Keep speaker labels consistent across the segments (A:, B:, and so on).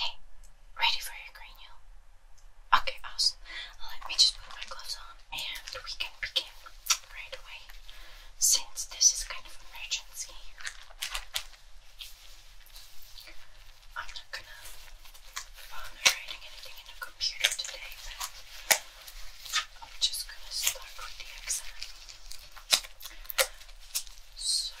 A: Hey, ready for your cranial? Okay, awesome. Let me just put my gloves on and we can begin right away since this is kind of emergency. I'm not gonna bother writing anything in the computer today, but I'm just gonna start with the exam. So,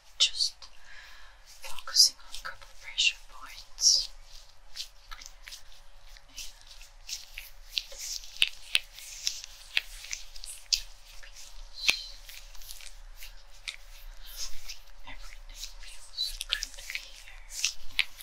A: just focusing on a couple pressure points. Everything feels good here. let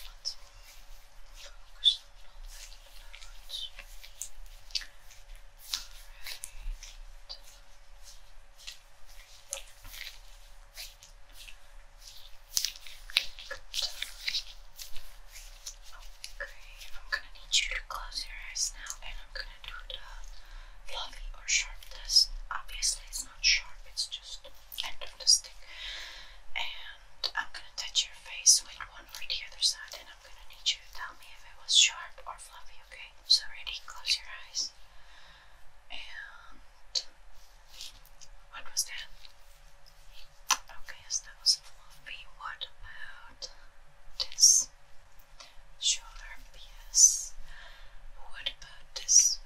A: on all Okay, I'm gonna need you to close your eyes now and I'm gonna do the fluffy or sharp test. Obviously, it's not sharp, it's just end of the stick. And I'm gonna touch your face with one or the other side and I'm gonna need you to tell me if it was sharp or fluffy, okay? So, ready? Close your eyes. And what was that? Okay, oh, so that was fluffy. What about this shoulder piece? What about this?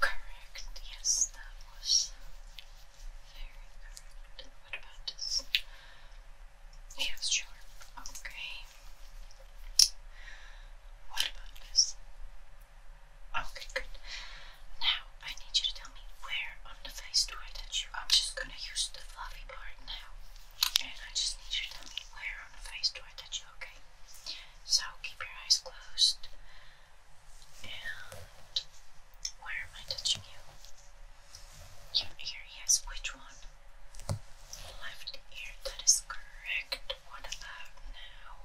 A: Correct. Yes, that was very correct. What about this? Yes, sure. Okay. What about this? Okay, good. Now I need you to tell me where on the face do I touch you? I'm just gonna use the fluffy part now. And I just need you to tell me where on the face do I touch you, okay? So keep your eyes closed. And where am I touching you? Your ear, yes, which one? Left ear, that is correct. What about now?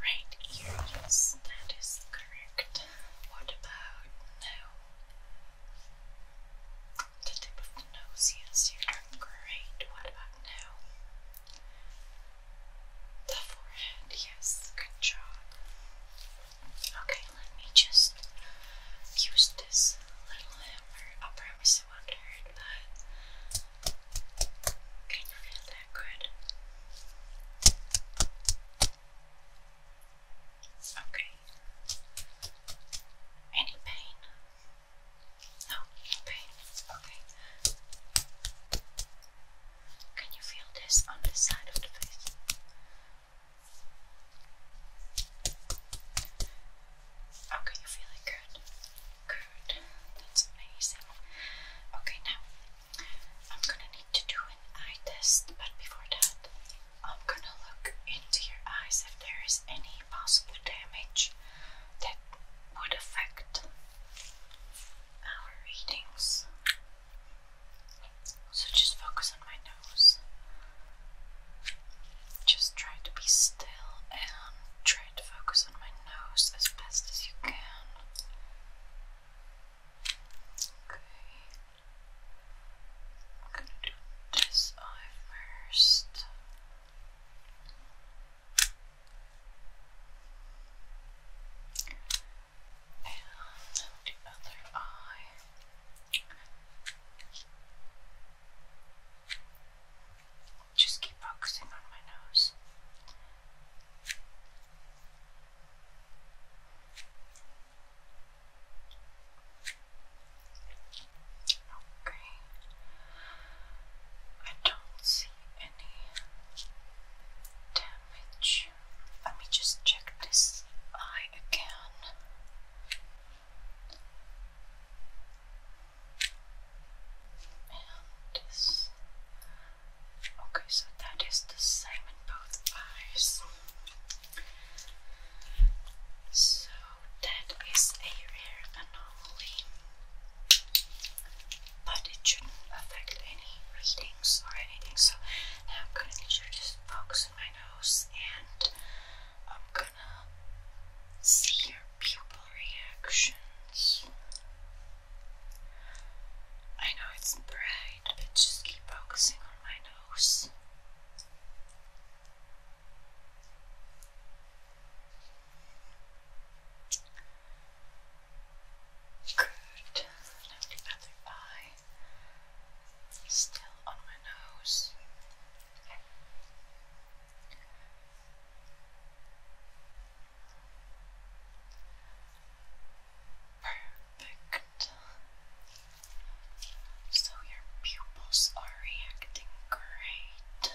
A: Right ear, yes, that is correct. What about now? The tip of the nose, yes, you're great. What about now? The forehead, yes, good job. Okay, let me just use this little hammer. I promise it won't hurt, but can you feel that good? Okay. Any pain? No, pain. Okay. Can you feel this on the side of the face? Okay, you're feeling good. Good. That's amazing. Okay, now I'm gonna need to do an eye test, but before that, I'm gonna look into your eyes if there is any possible damage that would affect our readings. So just focus pokes my nose. Just try to be still and try to focus on my nose as best as you can. Okay. I'm gonna do this eye first. And the other eye. Just keep focusing on my nose. Okay. I don't see any damage. Let me just check this eye again. Okay, so that is the same in both eyes. So that is a rare anomaly, but it shouldn't affect any readings or anything. So now I'm going to just focus on my nose and I'm going to see your pupil reactions. I know it's bright, but just keep focusing on my nose. Good. Now the other eye still on my nose. Perfect. So your pupils are reacting great.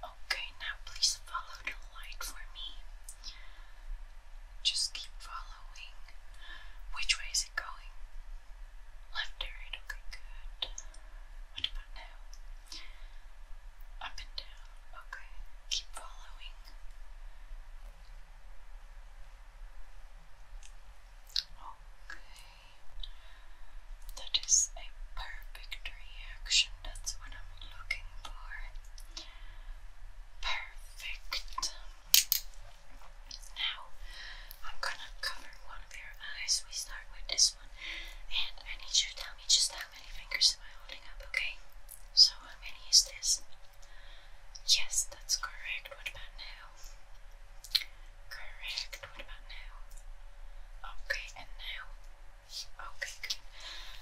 A: Okay, now please follow the light for me. Just keep following. Which way is it going? Left or right? Okay, good. What about now? Up and down. Okay, keep following. Okay. That is a perfect reaction. That's what I'm looking for. Perfect. Now, I'm gonna cover one of your eyes. We start with this one, and I need you to tell me just how many fingers am I holding up, okay? So, how many is this? Yes, that's correct. What about now? Correct. What about now? Okay, and now? Okay, good.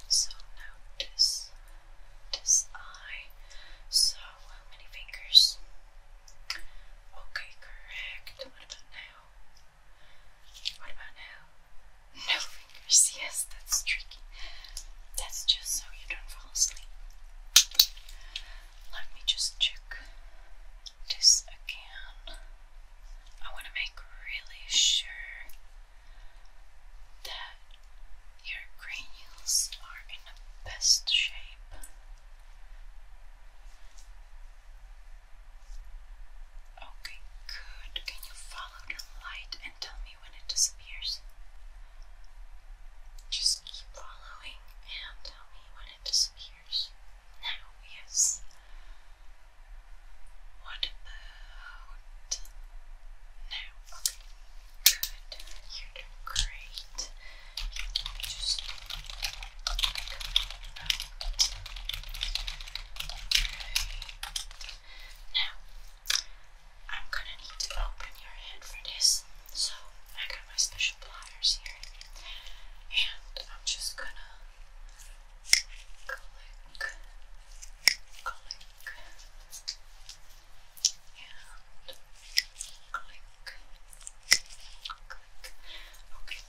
A: So, now this, this eye. So, how many fingers? Okay, correct. What about now? What about now? No fingers. Yes, that's tricky. That's just so you don't fall asleep. Let me just check this again. I want to make really sure that your cranials are in the best shape. Okay, good. Can you follow the light and tell me when it disappears? Just keep following and tell me when it disappears. Now, yes. What about now? Good. You're great. just Now, I'm gonna need to open your head for this. So, I got my special pliers here. And I'm just gonna click, click, and click, click. Okay.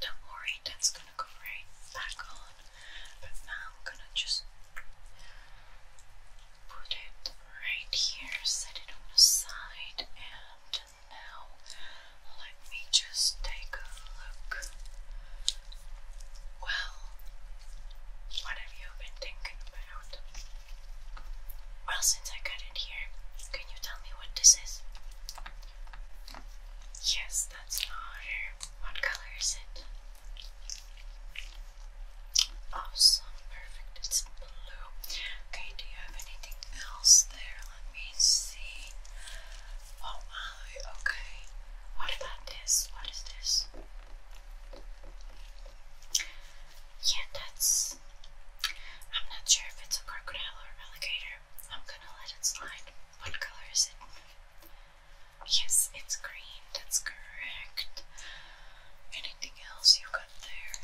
A: Don't worry, that's gonna go right back on. But now I'm gonna just put it right here, set it on the side, and now let me just take a look. Well, what have you been thinking well, since I got it here, can you tell me what this is? Yes, that's not water. What color is it? Awesome, perfect. It's blue. Okay, do you have anything else there? Let me see. Oh, Molly, okay. What about this? What is this? Yeah, that's. I'm not sure if it's a crocodile or alligator. I'm gonna let it slide. What color is it? Yes, it's green. That's correct. Anything else you got there?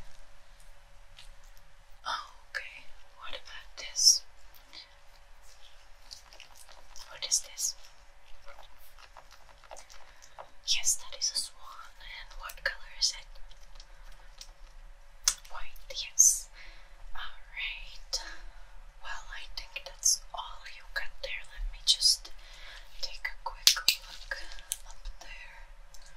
A: Oh, okay. What about this? What is this? Yes, that is a swan. And what color is it? White, yes. Alright. Well, I think that's all you got there. Let me just take a quick look up there. Okay.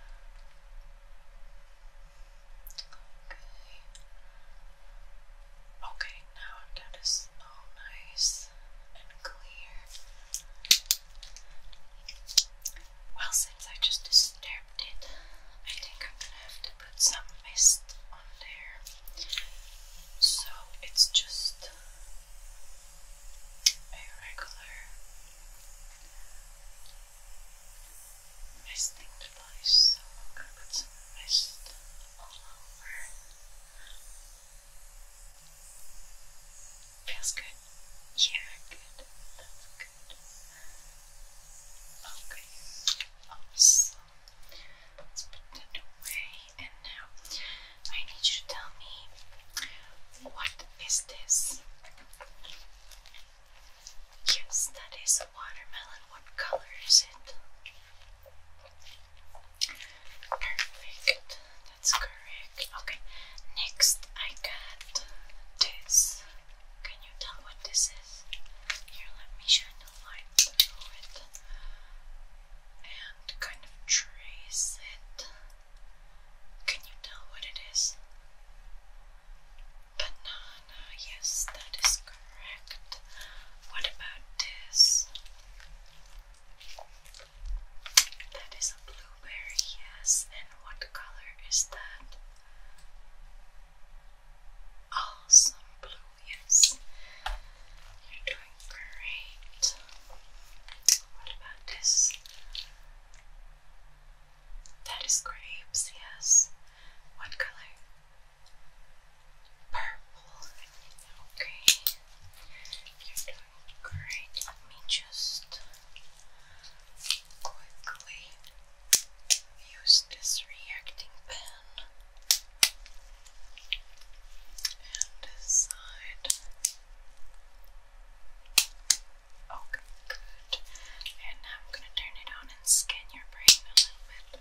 A: Okay, now that is so nice and clear. Well, since I just disturbed it, I think I'm gonna have to put some mist on there. So it's just regular misting device. So I'm gonna put some mist all over. Feels good. Yeah, good. That's good. Okay. Awesome. Let's put that away. And now I need you to tell me what is this? Yes, that is a watermelon. What color it? Perfect, that's correct. Okay, next I got this. Can you tell what this is? Here, let me shine the light through it and kind of trace it. Can you tell what it is? Banana, yes, that is correct. What about this? That is a blueberry, yes. And what color is that? Awesome blue, yes. You're doing great. What about this? That is grapes, yes. What color? Purple. Okay. Great, let me just quickly use this reacting pen and this Okay, good. And now I'm gonna turn it on and scan your brain a little bit.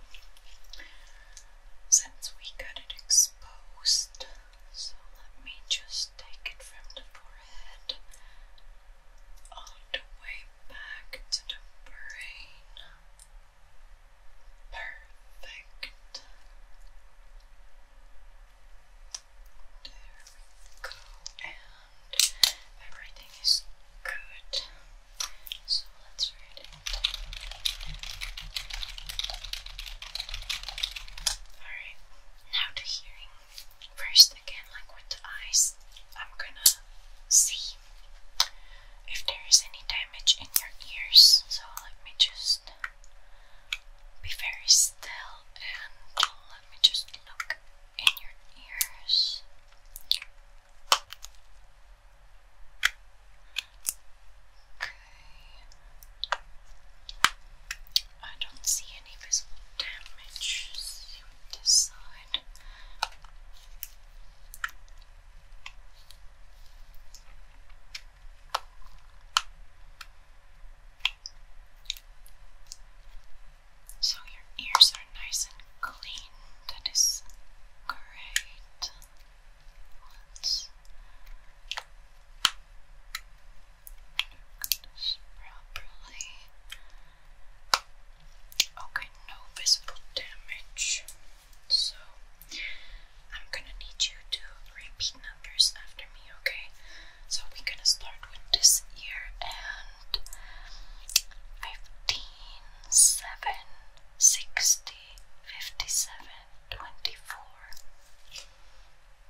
A: Since we got it exposed, so let me just take it from the forehead all the way back to the brain. Perfect. There we go, and everything is good. So let's read it. Alright, now to hearing. First, again, like with the eyes, I'm gonna see if there is any damage in your ears. So let me just be very still and let me just look in your ears. Good. I don't see any visible damage. let this side. So your ears are nice and clean. That is great properly. Okay, no visible damage. So I'm gonna need you to repeat numbers after me, okay? So we're gonna start with this ear and 15, 7, 57, 24.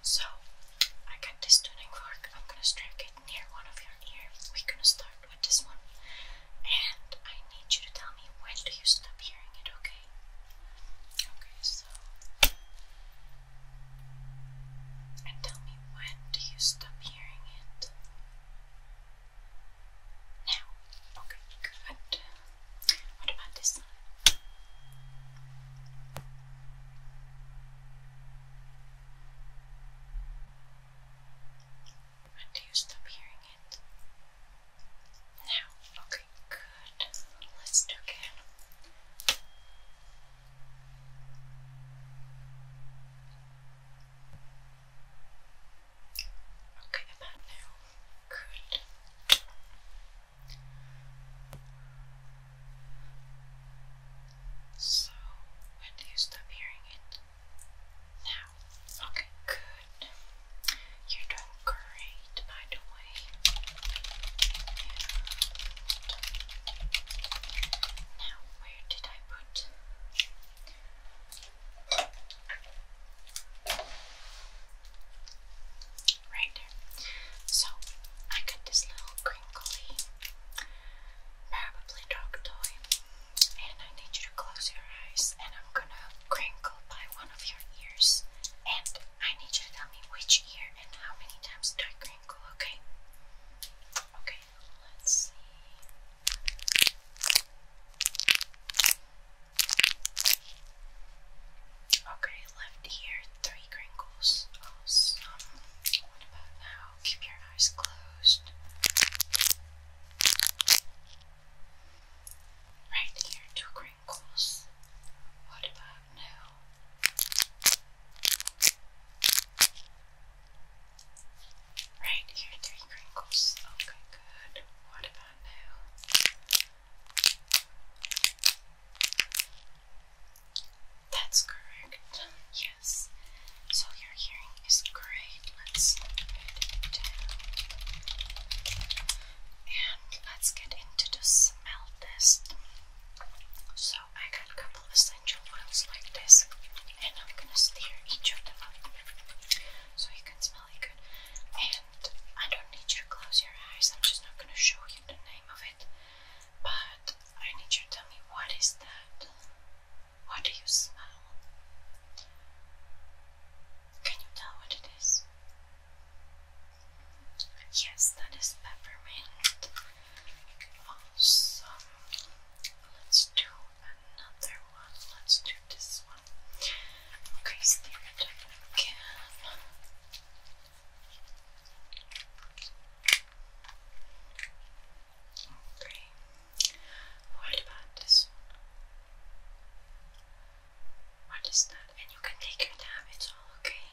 A: So, I got this tuning fork. I'm gonna strike it near one of your ears. We're gonna start with this one. And I need you to tell me when do you stop hearing it, okay? Okay, so. And tell me when do you stop hearing it? Now. Okay, good. What about this side? do you stop hearing it? Now, okay, good. Let's do again. Okay, about now. Good. So, when do you stop hearing it? Now. Okay, good. You're doing great, by the way. now, where did I put? Right there. So, I got this little crinkly, probably dog toy, and I need you to close your eyes and I'm gonna crinkle by one of your ears. And I need you to tell me which ear and how many times do I crinkle, okay? Okay, let's see. Okay, left ear, three crinkles. Awesome. What about now? Keep your eyes closed. Right ear, two crinkles. What about now? Right ear, three crinkles. Okay, good. What about now? That's correct. Yes. So your hearing is great. Let's And let's get into the smell test. So I got a couple essential oils like this, and I'm gonna stir each of them up so you can smell it good. And I don't need you to close your eyes. I'm just not gonna show you the name of it, but I need you to tell me what is that? What do you smell? Can you tell what it is? Yes, that is peppermint. Awesome. Let's do another one. Let's do this one. Okay, stare Okay. What about this What is that? And you can take your time, it's all okay.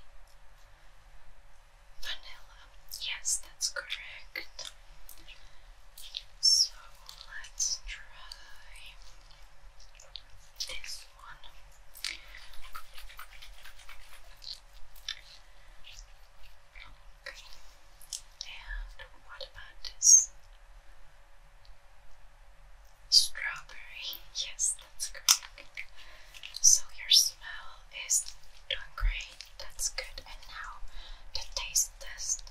A: Vanilla. Yes, that's correct. So let's try this one. And what about this? Strawberry. Yes, that's correct. So your smell is doing great. That's good. And now the taste test.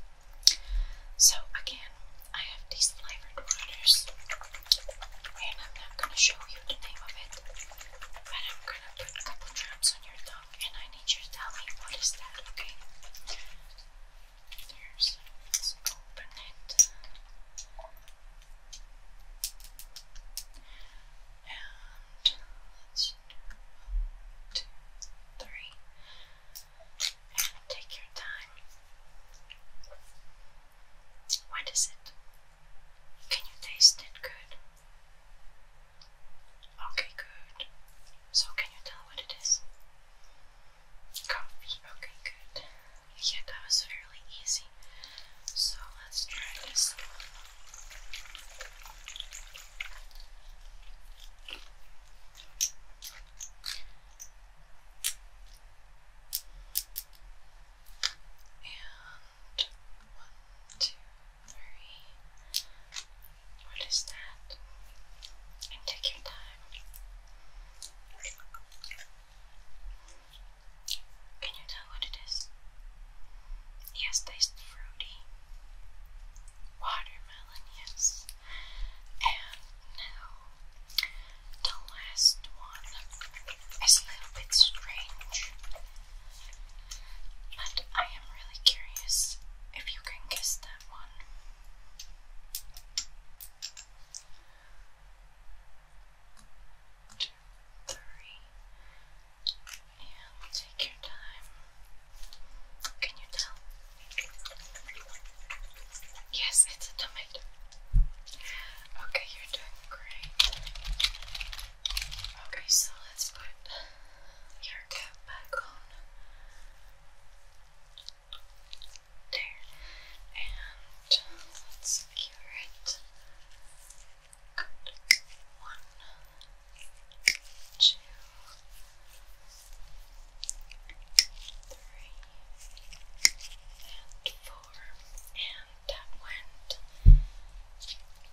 A: So again, I have these flavored waters. And I'm not going to show you the name of it, but I'm going to put a couple drops on your tongue, and I need you to tell me what is that, okay? There's, open it. And one, two, three. And take your time. What is it? Can you taste it good? Okay, good. So, can you tell what it is? Coffee. Okay, good. Yeah, that was fairly easy. So, let's try this and one, two, three. What is that? take your time. Can you tell what it is? Yes, tastes fruity. Watermelon, yes. And now the last one is a little bit strange, but I am really curious if you can kiss that one. Two, three, and take your time. Can you tell? Yes, it's a tomato. Okay, you're doing great. Okay, so let's put your cap back on. There. And let's secure it. Good. One, two, three, and four and that went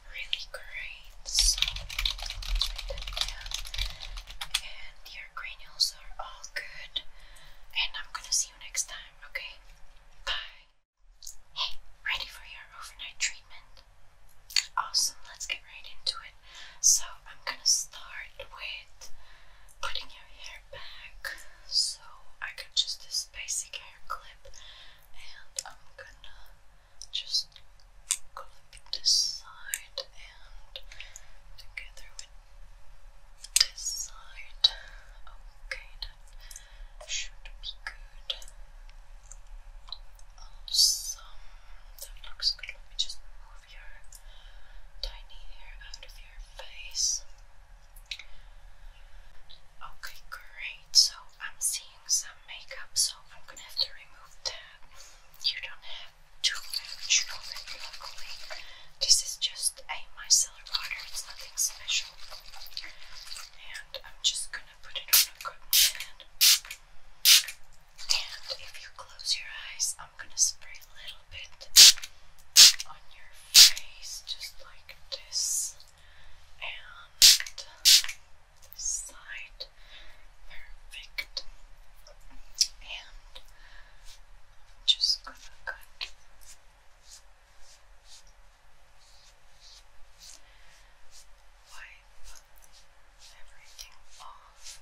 A: really great. So, write that down. are all good. And I'm gonna see you next time, okay? Bye. Hey, ready for your overnight treatment? Awesome, let's get right into it. So, I'm gonna start with putting your hair back so I could just basic hair clip and I'm gonna just clip this side and together with this side. Okay, that should be good. Awesome. That looks good. Let me just move your tiny hair out of your face. Okay, great. So I'm seeing some makeup, so I'm gonna have to remove that. You don't have too much of it, luckily. This is just a micellar water, it's nothing special. And I'm just gonna put it on a cotton pad. And if you close your eyes, I'm gonna spray a little little bit on your face, just like this, and this side. Perfect. And just gonna cut. Wipe everything off.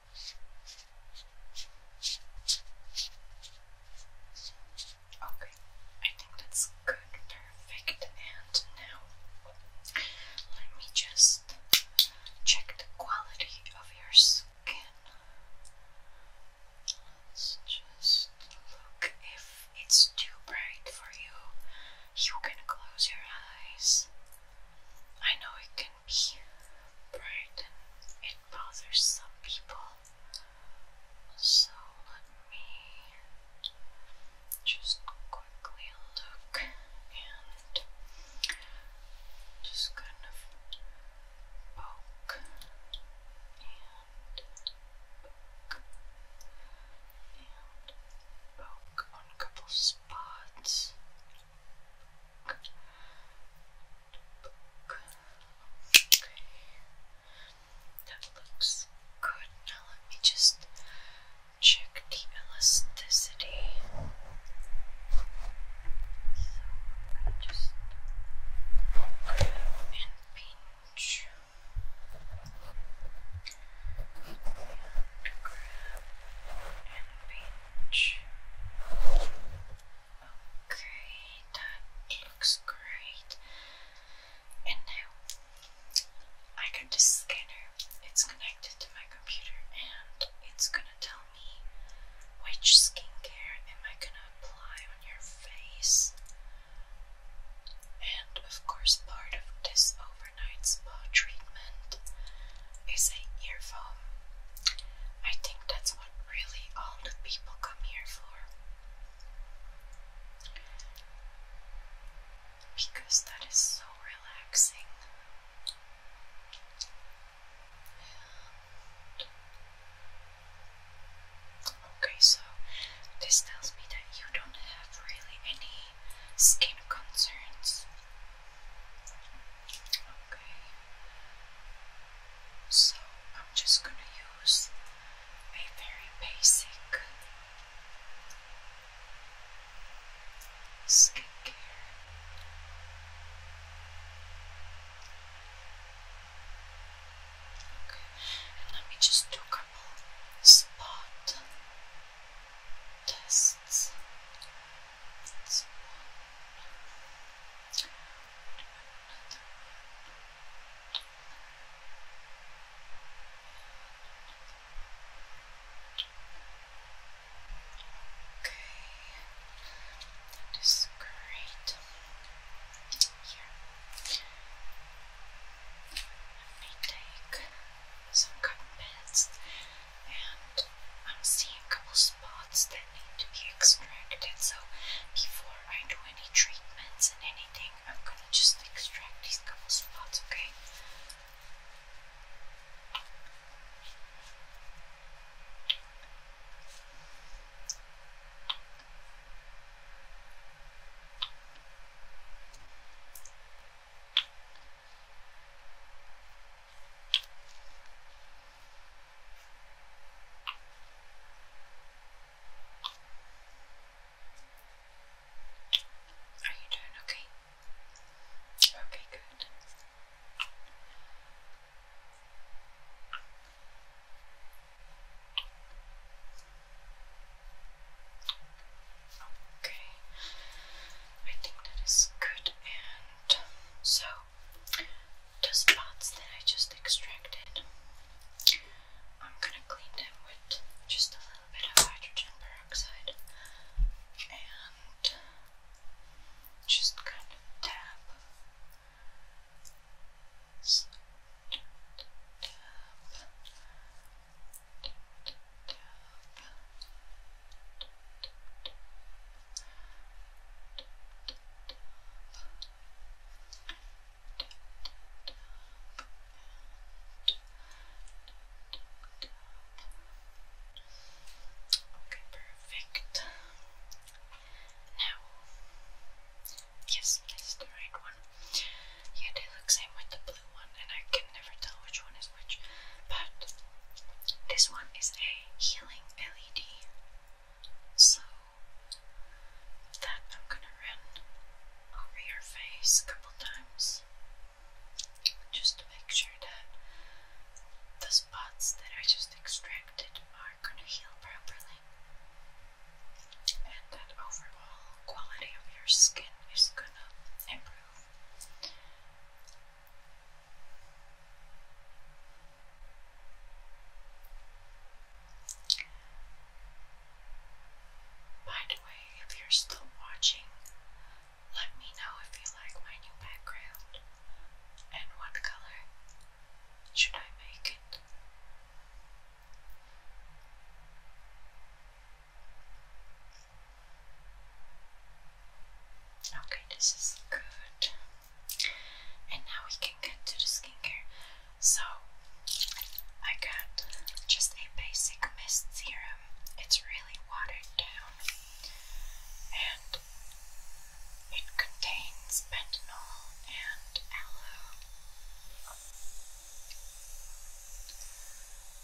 A: Okay, I think that's good, perfect. And now let me just check the quality of your skin. Let's just look if it's too bright for you. You can close your eyes. I know it can right? It bothers some people. So let me just quickly look and just kind of poke and poke and poke on a couple spots. That looks good. Now let me just check the elasticity. So i just grab and pinch. grab and pinch. Okay, that looks great. And now I got this scanner, it's connected to my computer, and it's gonna tell me which skincare am I gonna apply on your face. And of course, part of this overnight spa treatment is a earphone. I think that's what really all the people come here for. Because that is so relaxing. okay, so this tells me that you don't have really any skin concerns. Okay. So I'm just going to use a very basic skincare. Okay, and let me just do a couple spot tests that's one. What about another one? Okay, that is great. take some cotton pads, and I'm seeing a couple spots that need to be extracted. So before I do any treatments and anything, I'm gonna just extract these couple spots, Okay, are you doing okay? Okay, good. Okay, I think that is good. And um, so the spots that I just extracted. I'm gonna clean them with just a little bit of hydrogen peroxide and just kind of tap. So, tap, Okay, perfect. Now, yes, that's the right one. Yeah, they look same with the blue one, and I can never tell which one is which. But this one is a healing LED. So that I'm gonna run over your face a couple times just to make sure that the spots that I just extracted are gonna heal properly and that overall quality of your skin is gonna improve. By the way, if you're still watching, let me know if you like my new background and what color should I make it. Okay, this is good. And now we can get to the skincare. So, I got just a basic mist serum. It's really watered down and it contains bentonol and aloe.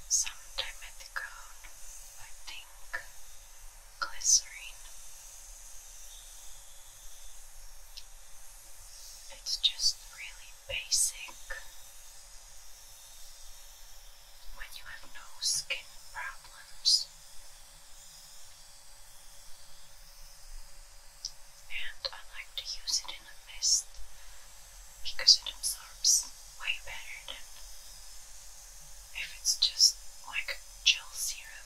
A: Some dimethicone, I think glycerine. It's just really basic. When you have no skin problems. And I like to use it in a mist because it absorbs way better than if it's just like gel serum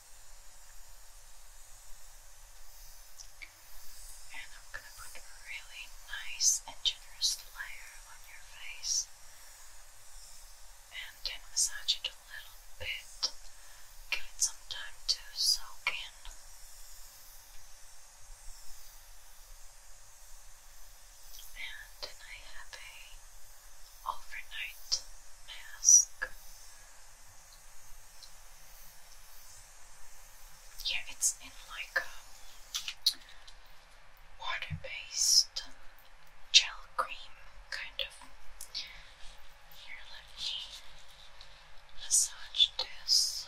A: And I'm going to put a really nice and generous layer on your face. And then massage it a little bit. Give it some time to soak in. And I have a overnight mask yeah, it's in like a um, water based um, gel cream kind of. Here, let me massage this.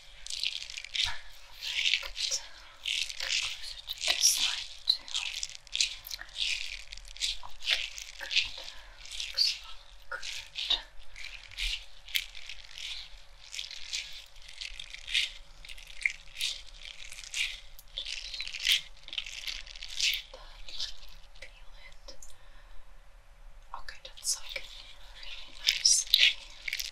A: Perfect. Closer to this side too. Just that, peel it. Okay, that's like really nice.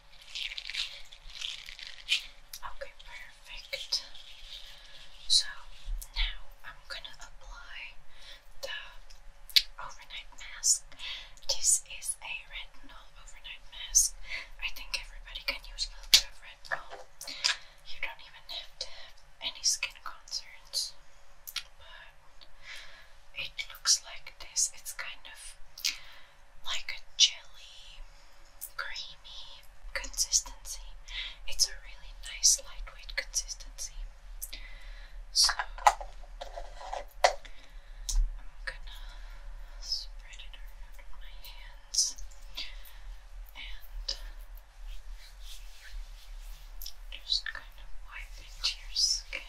A: Okay, perfect. So now I'm gonna apply the overnight mask. This is a retinol overnight mask. I think everybody can use a little retinol. You don't even have any skin concerns. But it looks like this. It's kind of like a jelly, creamy consistency. It's a really nice lightweight consistency. So I'm gonna spread it around my hands and just kind of wipe into your skin.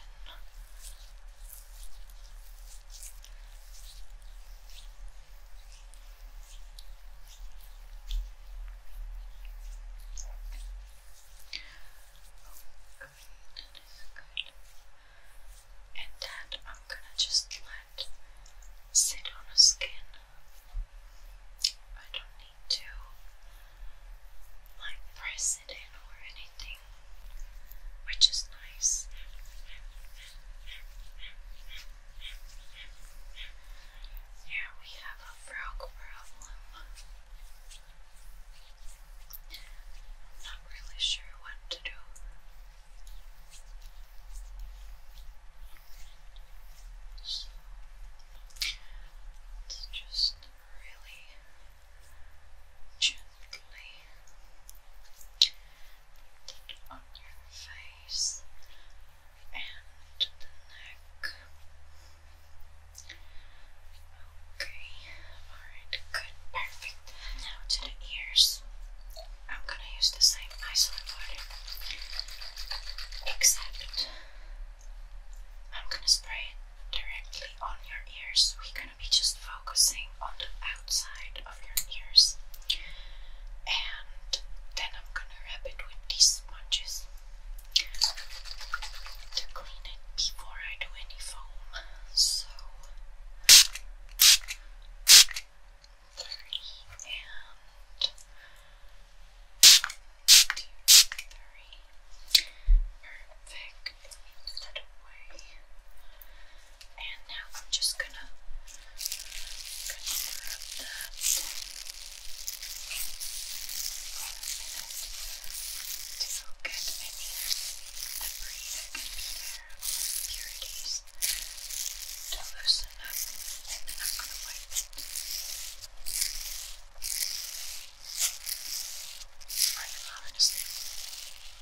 A: And that I'm gonna just let sit on the skin. I don't need to like press it in or anything which is nice. Here we have a frog problem. not really sure what to do. So, just really on your face and the neck. Okay, alright, good, perfect. Now to the ears. I'm gonna use the same isolate water, except I'm gonna spray it directly on your ears gonna be just focusing on the outside of your ears, and then I'm gonna wrap it with these sponges to clean it before I do any foam. So, three and two, three. Perfect. Put away. And now I'm just gonna, gonna rub that to get any debris that can be there, impurities, to loosen up. And I'm gonna wipe it. I love it.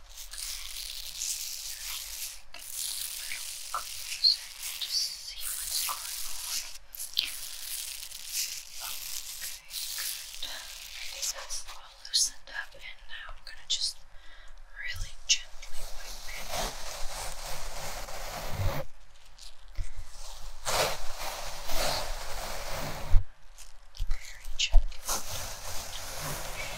A: closer to see what's going on. Okay, good. This is all loosened up, and now I'm gonna just really gently wipe it. Okay very gently okay. Perfect.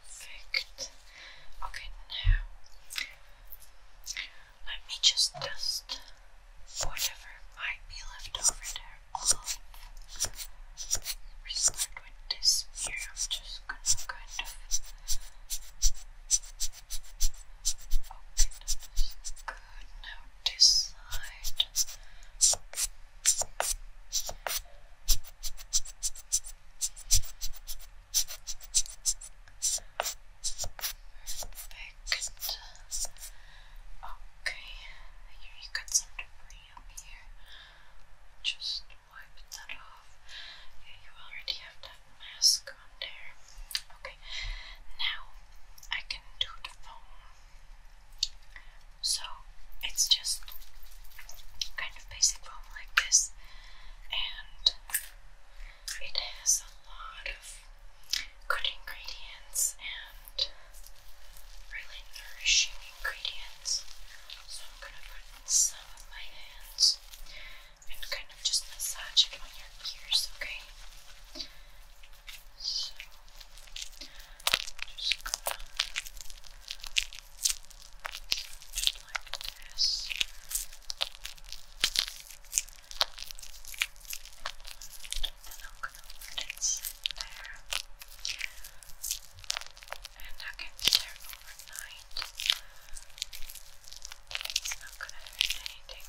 A: Perfect. Okay, now let me just dust whatever might be left over there. start with this here. I'm just gonna kind of open this. Good. Now this Perfect. Okay, here you got some debris up here. Just wipe that off. you already have that mask on there. Okay, now I can do the foam. So it's just kind of basic foam like this, and it has a lot of good ingredients and really nourishing ingredients. So I'm going to put some of my hands and kind of just massage it on your ears, okay? So, just just like this. And I'm gonna let it there. And I can be there overnight. It's not gonna hurt anything.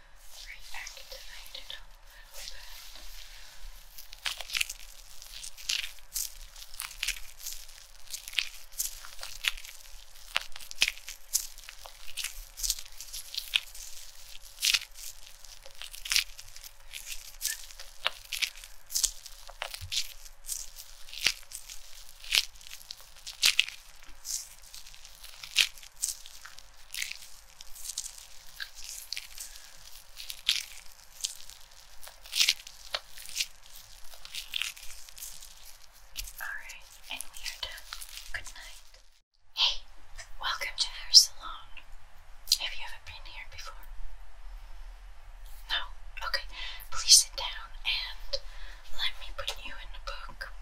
A: right back to light it up a little bit. Right. Alright, and we are done. Good night. Hey, welcome to our salon. Have you ever been here before? No? Okay, please sit down and let me put you in the book.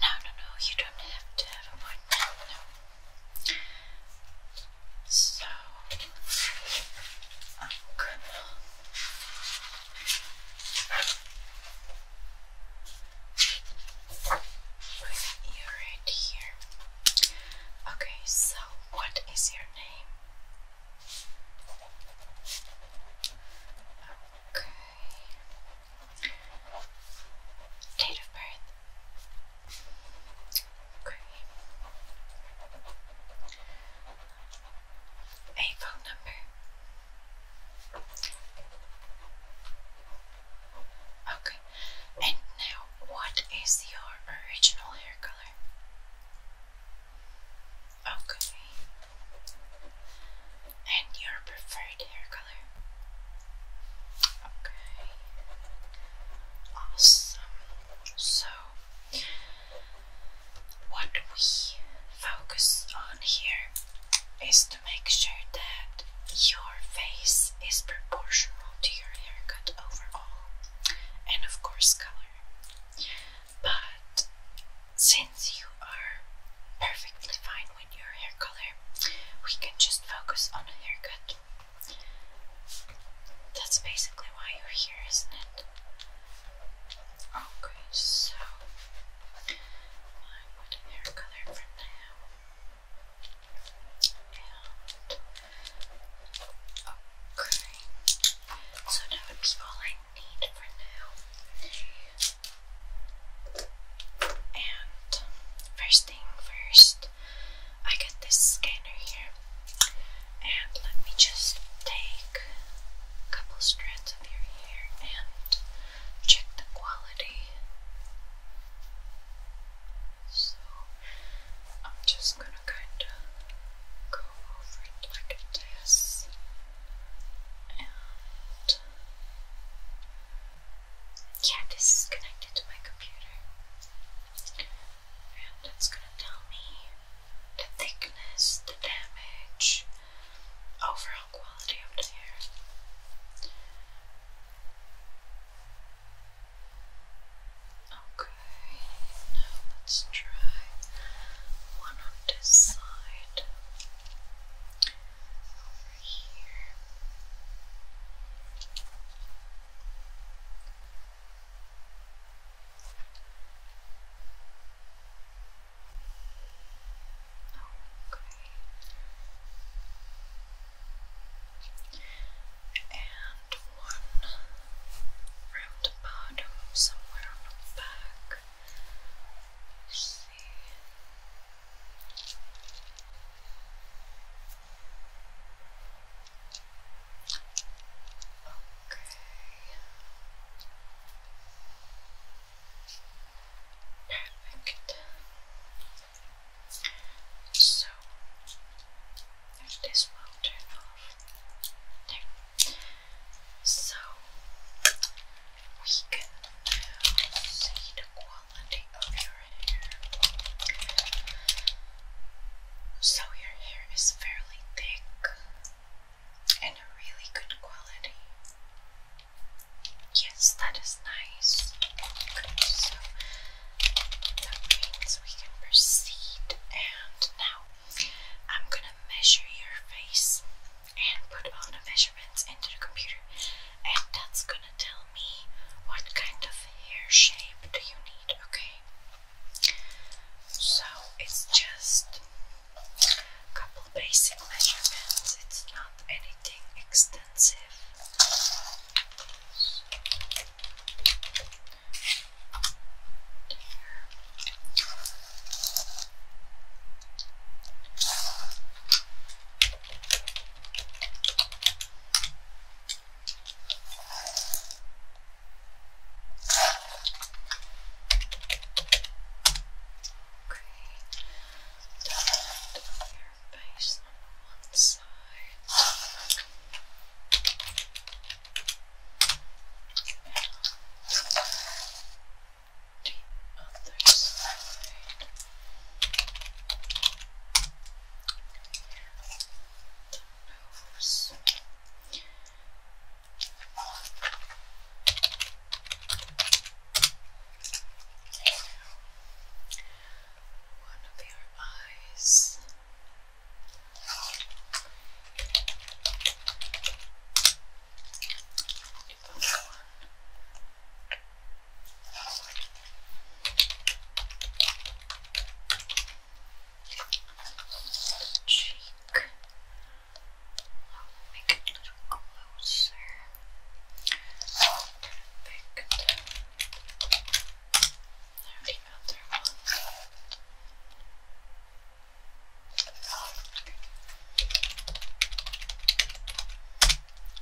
A: No, no, no, you don't have to have a point. No. So, I'm gonna. Put right here. Okay, so what is your name? Okay. Date of birth. Okay. A phone number. Okay. And now, what is your original hair color? Okay. And your preferred hair color. Okay. Awesome. So, what we focus on here is to make sure that your face is proportional to your haircut overall, and of course, color. But since you are perfectly fine with your hair color, we can just focus on a haircut. That's basically why you're here, isn't it? Okay, so I want hair color for now. And okay. So now it's all I need for now. And first thing first, I got this scanner here, and let me just take a couple strands of your hair and check the quality. So I'm just gonna kind of go over it like this, and yeah, this is connected to my computer. And that's gonna tell me the thickness, the damage, overall quality of the hair. Okay, now let's try one on this side over here. Okay. And one round the bottom, somewhere on the back. Perfect. So this will turn off. There. So we can see the quality of your hair. So, your hair is fairly thick and a really good quality. Yes, that is nice. So, that means we can proceed. And now I'm gonna measure your face and put all the measurements into the computer and that's gonna tell me what kind of hair shape do you need, okay? So it's just a couple basic measurements, it's not anything extensive your face on one side. And the other side. The nose. One of your eyes cheek. I'll make it a little closer. Perfect. There's another one.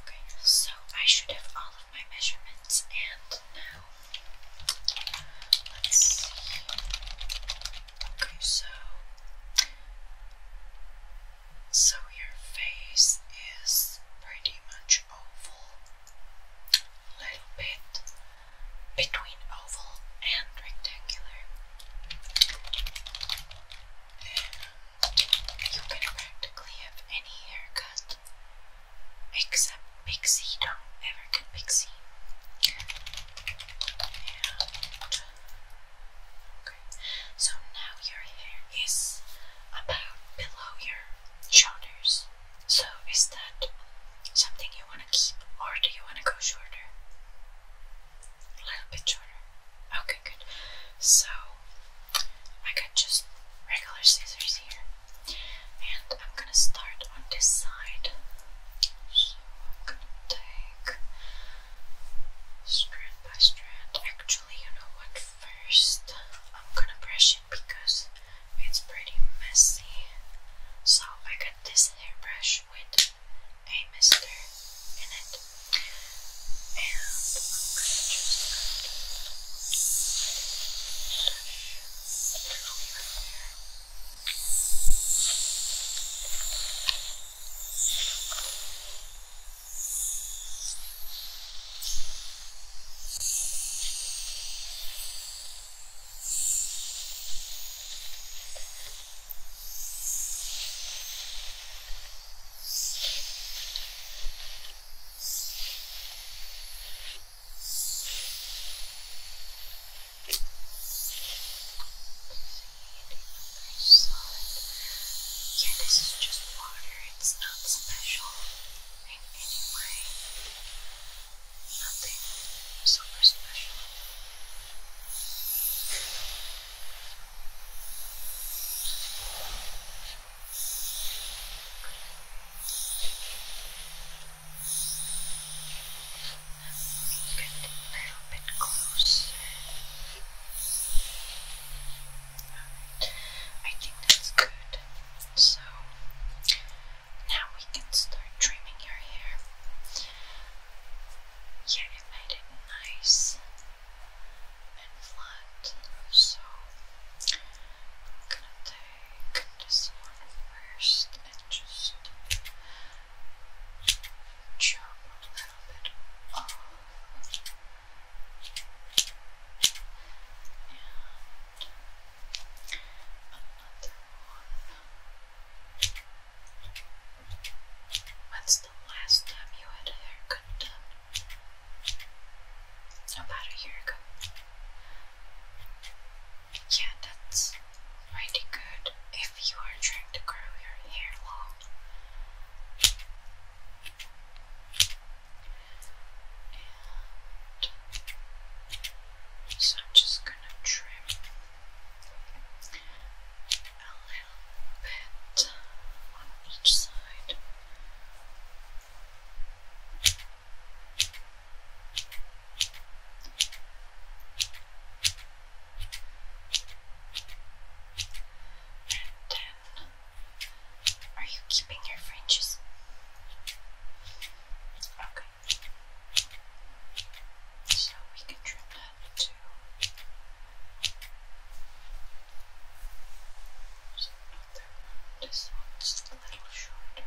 A: Okay, so I should have all of my measurements, and now let's see. Okay, so so your face is pretty much oval, little bit between oval and rectangular. you can practically have any haircut except Pixie. Don't ever get Pixie. okay, so now your hair is about below your shoulders. So, is that something you want to keep or do you want to go shorter? A little bit shorter. Okay, good. So, I got just regular scissors here, and I'm gonna start on this side. So, I'm gonna take strand by strand. Actually, you know what? First, I'm gonna brush because it's pretty messy. So I got this hairbrush with a mister in it. Yeah, this is just water, it's not special in any way. Nothing super special. a little bit closer. Alright, I think that's good. So now we can start dreaming your hair. Yeah, it made it nice and flat. So I'm gonna take this one first and just chop a little bit off. And Another the last time you had a haircut done? About a year ago. Yeah, that's pretty good if you are trying to grow your hair long so I'm just gonna trim a little bit on each side. then, are you keeping your fringes? Okay. So we can trim that too. So another a little shorter.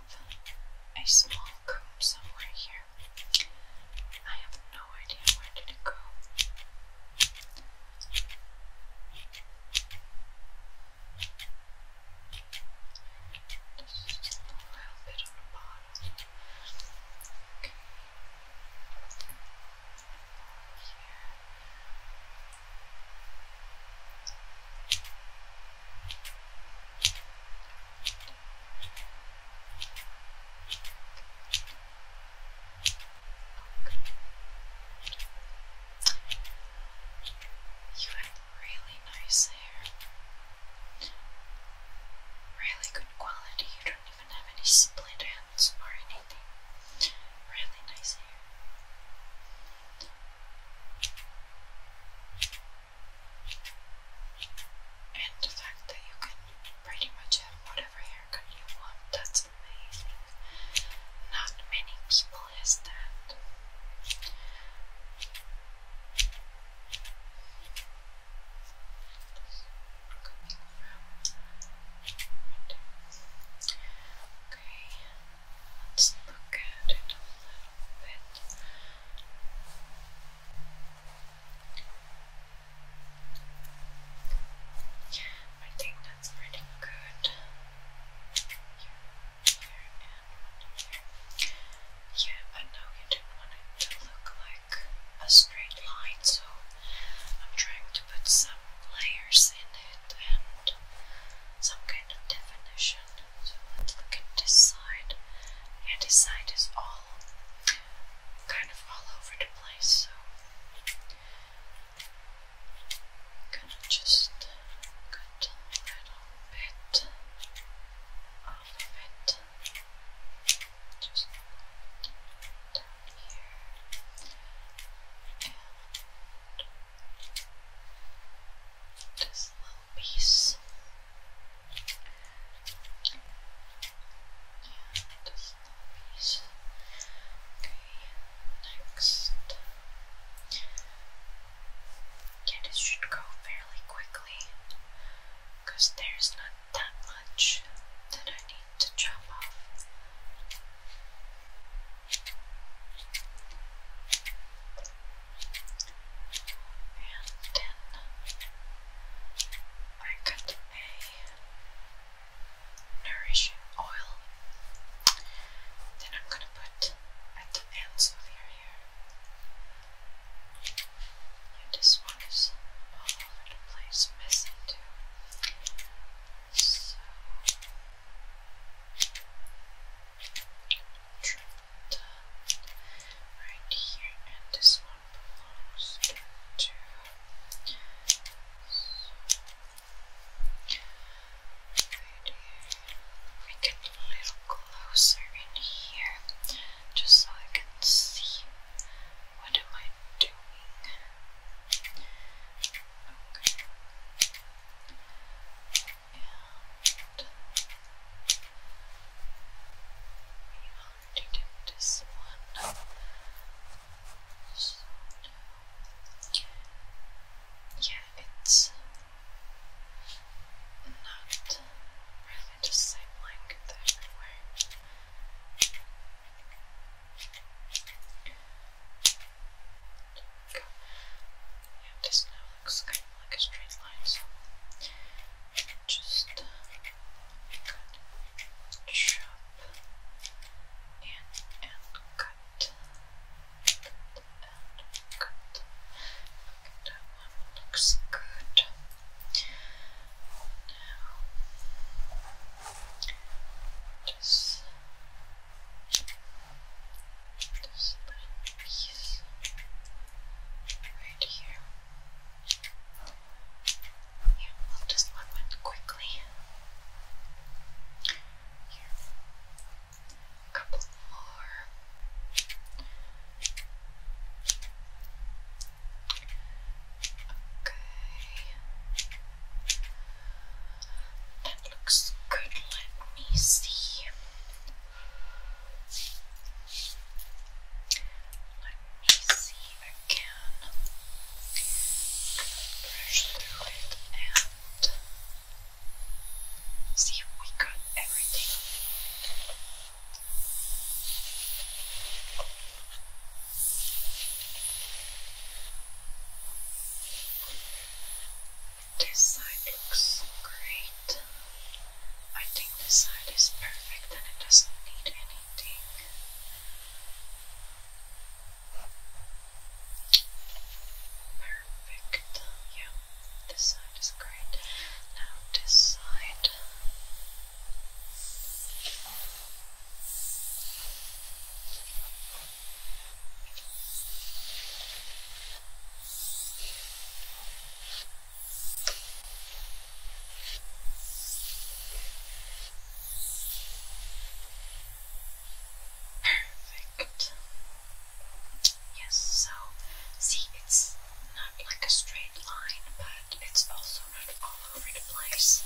A: a small comb somewhere here. I have no idea where did it go. Just a little bit on the bottom. Here. You have really nice hair. Really good quality. You don't even have any split ends or anything. Really nice hair. And the fact that you can pretty much have whatever haircut you want, that's amazing. Not many people has that. Okay, let's look at a little bit. I think that's pretty good. Yeah, but now you don't want it to look like a straight line, so I'm trying to put some layers in it and some kind of definition. So let's look at this side. Yeah, this side is all kind of all over the place, so I'm just cut a little bit of it. Just down here. And this little piece. Okay, next. Yeah, this should go fairly quickly because there's not that much that I need to chop off. And then I got a nourishing oil. Then I'm gonna put at the ends of your hair. Yeah, this one is all over the place, messy too. So right here, and this one belongs to. So, right we get a little closer in here, just so I can see what am I doing. We already did this one. So it's not really the same blanket everywhere. now looks kind of like a straight line, so just uh, chop in and cut, cut and cut. looks good. Now, this, this little piece right here. Here, I'll just one quickly. Here, a couple more. Okay. That looks good. Let me see. Let me see again. Brush through it and see if we got everything. This side looks great. I think this side is perfect and it doesn't need anything. Perfect. Yeah, this side is great. Now this side. Perfect. Yes, so see, it's not like a straight line, but it's also not all over the place.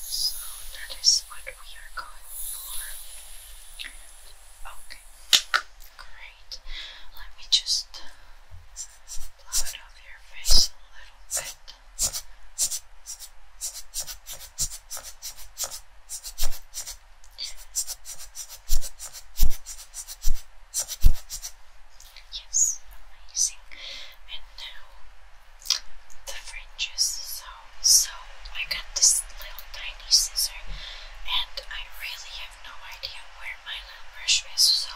A: So that is what we are going for. Okay. Great. Let me just Yes, amazing. And now the fringes. So, so I got this little tiny scissors, and I really have no idea where my brush is, so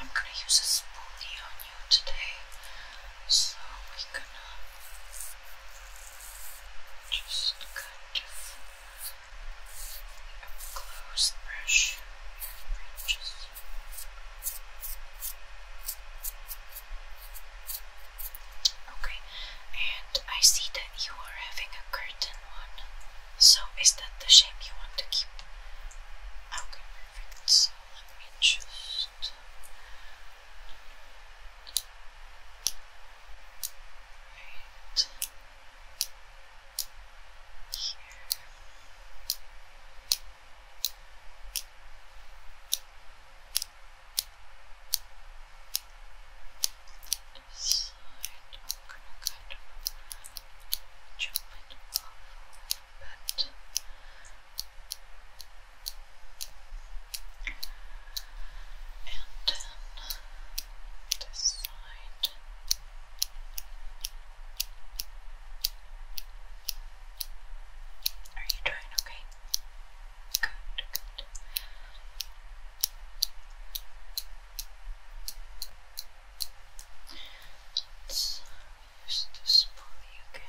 A: I'm gonna use a spoolie on you today. So we're gonna just kind of up brush Okay, and I see that you are having a curtain one. So is that the shape you want to keep? Okay, So let me just right here this side, I'm jump it off a little And then this Are you doing okay? good. Let's to this pulley again.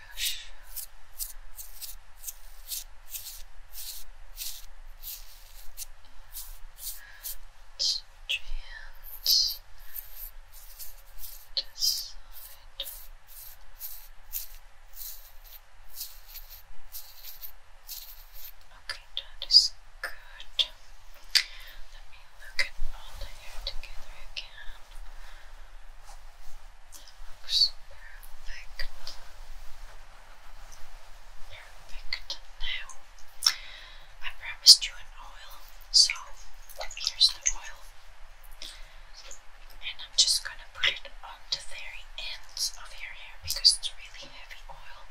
A: brush. Strands Okay, that is good. Let me look at all the hair together again perfect. Perfect. Now, I promised you an oil, so here's the oil. And I'm just going to put it on the ends of your hair because it's really heavy oil.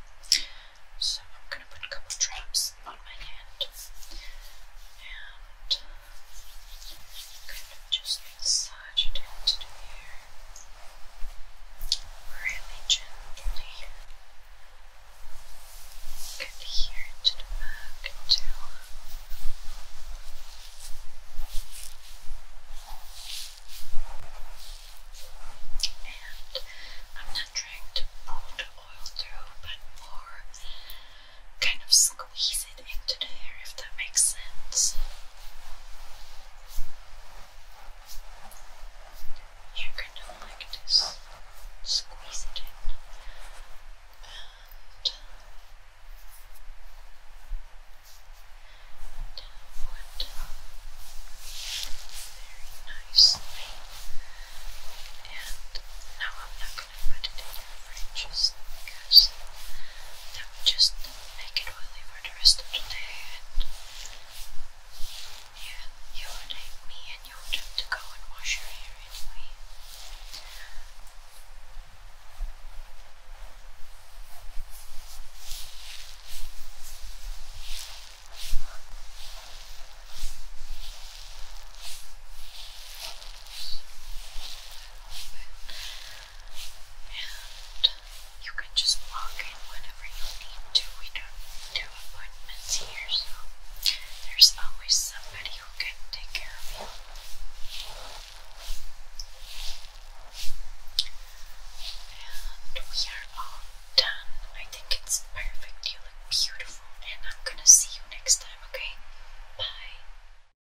A: So I'm going to put a couple drops on my hand. And Kind of just massage it into the air really gently. Good here to the back too. And I'm not trying to pull the oil through, but more kind of squeeze it into there if that makes sense. Yeah, kind of like this. Squeeze it in. And that would very nicely. And now I'm not going to put it in your fridge just because just make it oily for the rest of the day and yeah, you would hate me and you would have to go and wash your hair anyway and you can just walk in whenever you need to. We don't do appointments here, so there's always somebody who can take care of you. And we are all done. I think it's perfect. You look beautiful, and I'm gonna see you next time, okay? Bye.